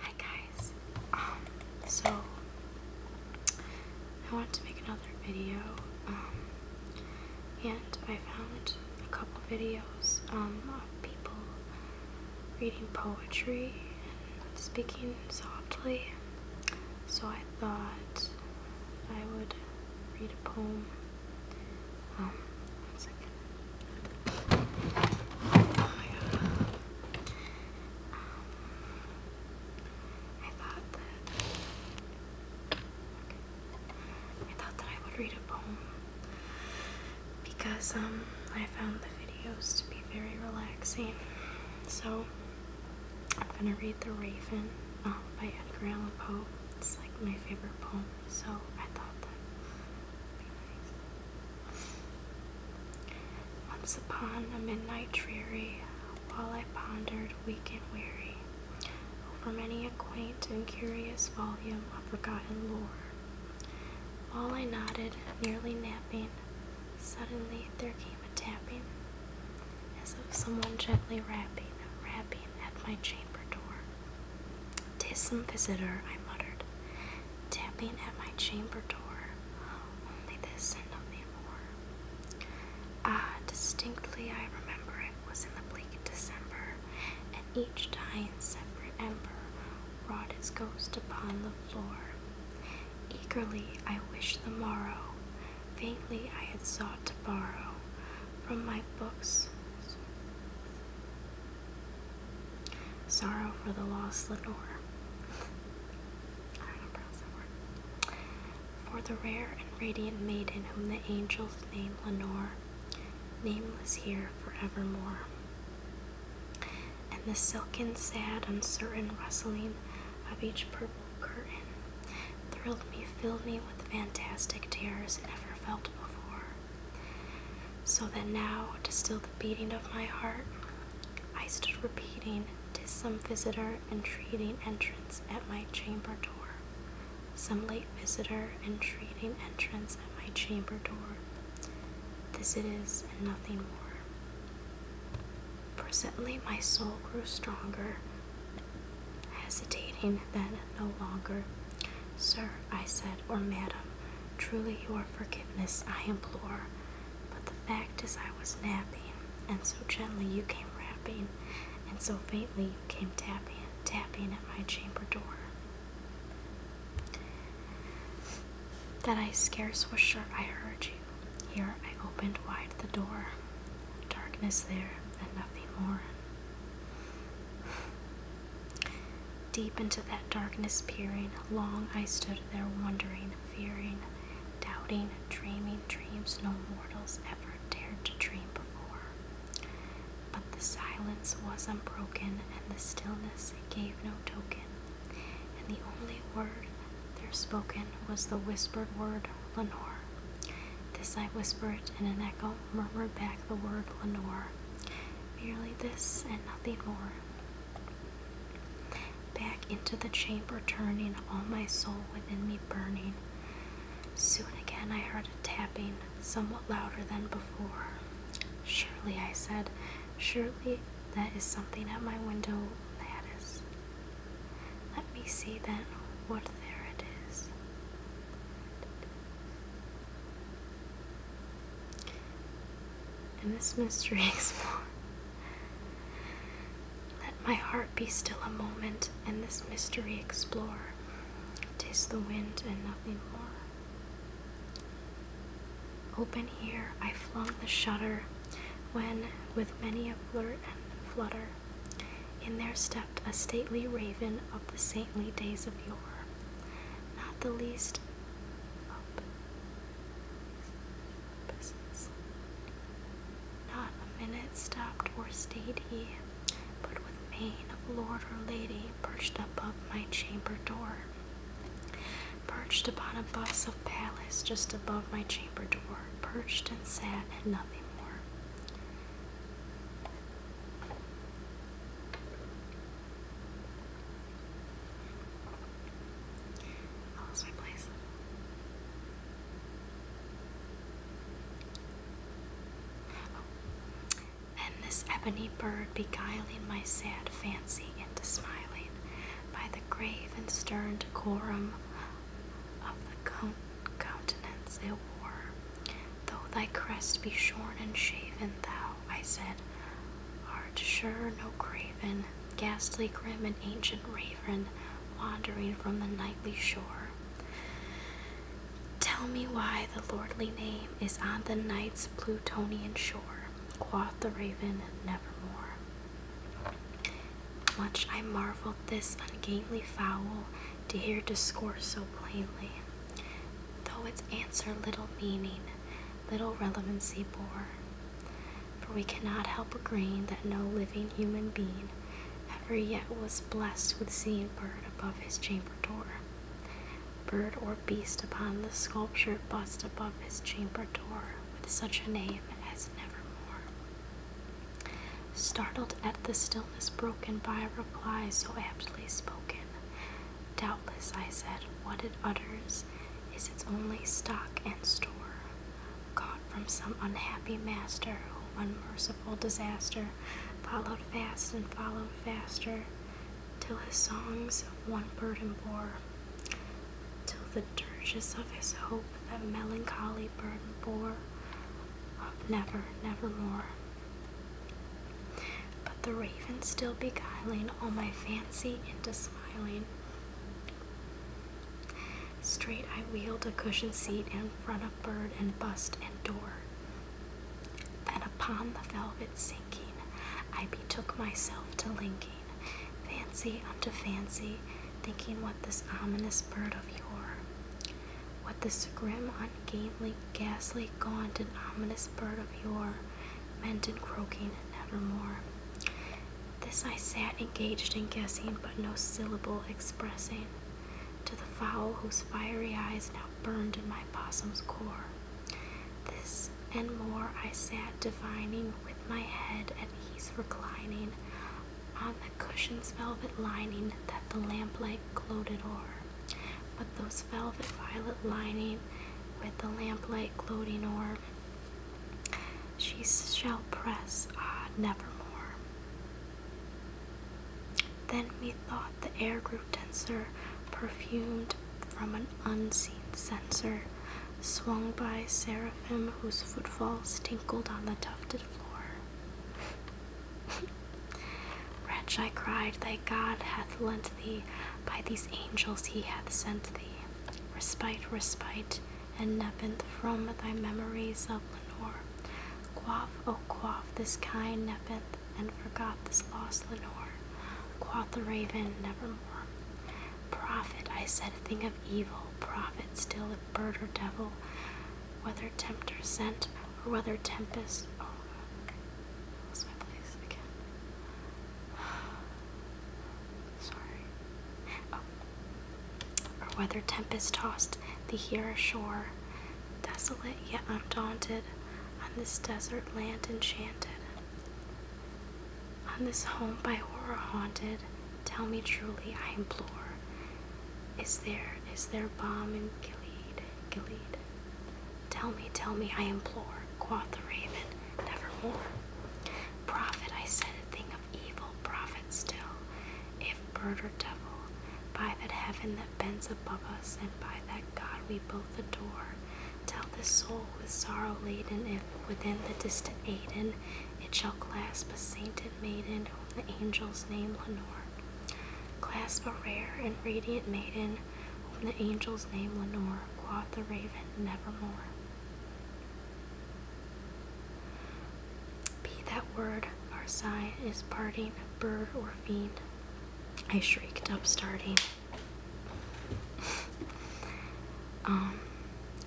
Hi guys. Um, so I want to make another video. Um, and I found a couple videos um of people reading poetry and speaking softly. So I thought I would read a poem. Um, I thought that I would read a poem because um I found the videos to be very relaxing. So I'm gonna read The Raven um, by Edgar Allan Poe. It's like my favorite poem. So I thought that would be nice. Once upon a midnight dreary, while I pondered weak and weary over many a quaint and curious volume of forgotten lore, while I nodded, nearly napping, suddenly there came a tapping, as of someone gently rapping, rapping at my chamber door. Dismal visitor,' I muttered, tapping at my chamber door. Only this and nothing more. Ah, distinctly I remember it was in the bleak December, and each dying separate ember wrought its ghost upon the floor. Eagerly I wished the morrow, faintly I had sought to borrow from my books Sorrow for the lost Lenore. For the rare and radiant maiden whom the angels name Lenore, nameless here forevermore. And the silken, sad, uncertain rustling of each purple curtain thrilled me, filled me with fantastic terrors never felt before. So that now, to still the beating of my heart, I stood repeating, "Tis some visitor entreating entrance at my chamber door, some late visitor entreating entrance at my chamber door. This it is, and nothing more." Presently, my soul grew stronger, hesitating then no longer. Sir, I said, or madam, truly your forgiveness I implore. But the fact is I was napping, and so gently you came rapping, and so faintly you came tapping, tapping at my chamber door. That I scarce was sure I heard you. Here I opened wide the door. Darkness there, and nothing more. Deep into that darkness peering, long I stood there wondering, fearing, doubting, dreaming dreams no mortals ever dared to dream before. But the silence was unbroken, and the stillness gave no token, and the only word there spoken was the whispered word, Lenore. This I whispered, in an echo murmured back the word Lenore. Merely this and nothing more. Back into the chamber turning, all my soul within me burning. Soon again I heard a tapping, somewhat louder than before. Surely, I said, surely that is something at my window lattice. Let me see then what there it is. And this mystery explore. Let my heart be still a moment, and this mystery explore. Tis the wind and nothing more. Open here, I flung the shutter, when, with many a flirt and flutter, in their step a stately raven of the saintly days of yore, not the least Not a minute stopped or stayed he, but with mien of lord or lady perched above my chamber door. Perched upon a bus of palace just above my chamber door, perched and sat and nothing more. And oh. this ebony bird beguiling my sad fancy into smiling by the grave and stern decorum of the countenance it wore, Though thy crest be shorn and shaven, thou, I said, art sure no craven, ghastly, grim, and ancient raven, wandering from the nightly shore. Tell me why the lordly name is on the night's Plutonian shore, quoth the raven, nevermore. Much I marveled this ungainly fowl to hear discourse so plainly, though its answer little meaning, little relevancy bore. For we cannot help agreeing that no living human being ever yet was blessed with seeing bird above his chamber door, bird or beast upon the sculptured bust above his chamber door with such a name as Nevermore. Startled at the stillness broken by a reply so aptly spoken, doubtless I said, What it utters is its only stock and store, caught from some unhappy master whom unmerciful disaster followed fast and followed faster, till his songs one burden bore, till the dirges of his hope that melancholy burden bore, of never, more." But the raven still beguiling all my fancy into smiling. Straight I wheeled a cushioned seat in front of bird and bust and door. Then upon the velvet sinking, I betook myself to linking, fancy unto fancy, thinking what this ominous bird of yore what this grim, ungainly, ghastly, gaunt, and ominous bird of yore meant in croaking nevermore. This I sat engaged in guessing, but no syllable expressing to the fowl whose fiery eyes now burned in my bossom's core. This and more I sat divining with my head at ease reclining on the cushion's velvet lining that the lamplight gloated o'er. But those velvet violet lining with the lamplight gloating o'er, she shall press, ah, nevermore. Then methought the air grew denser, perfumed from an unseen censer, swung by seraphim whose footfalls tinkled on the tufted floor. Wretch, I cried, thy God hath lent thee, by these angels he hath sent thee. Respite, respite, and nepenthe from thy memories of Lenore. Quaff, O oh, quaff, this kind nepenthe, and forgot this lost Lenore. Quoth the raven, nevermore. Prophet, I said a thing of evil, prophet, still a bird or devil whether or sent, or whether tempest. Oh, okay. Lost my place again. Sorry. Oh. Or whether tempest tossed thee here ashore, desolate yet undaunted, on this desert land enchanted. On this home by horror haunted, tell me truly, I implore. Is there, is there bomb in Gilead, Gilead. Tell me, tell me, I implore, quoth the raven, nevermore. Prophet, I said a thing of evil, prophet still, if bird or devil, by that heaven that bends above us, and by that God we both adore, tell this soul with sorrow laden, if within the distant Aden, it shall clasp a sainted maiden the angel's name Lenore. Clasp a rare and radiant maiden whom the angel's name Lenore, quoth the raven, nevermore. Be that word our sign is parting, bird or fiend. I shrieked up, starting. um,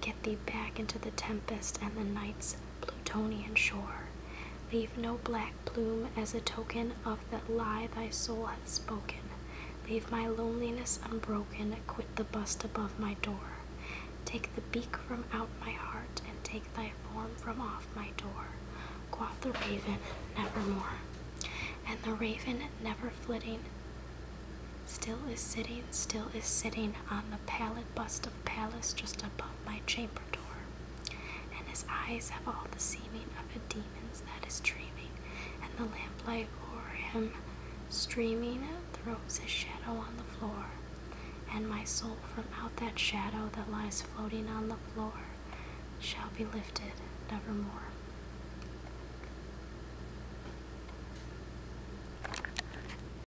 get thee back into the tempest and the night's Plutonian shore. Leave no black plume as a token of that lie thy soul hath spoken. Leave my loneliness unbroken, quit the bust above my door. Take the beak from out my heart, and take thy form from off my door. Quoth the raven, nevermore. And the raven, never flitting, still is sitting, still is sitting on the pallid bust of of palace just above my chamber door, and his eyes have all the seeming of a demon's that is dreaming, and the lamplight o'er him streaming throws his shadow on the floor, and my soul from out that shadow that lies floating on the floor shall be lifted nevermore.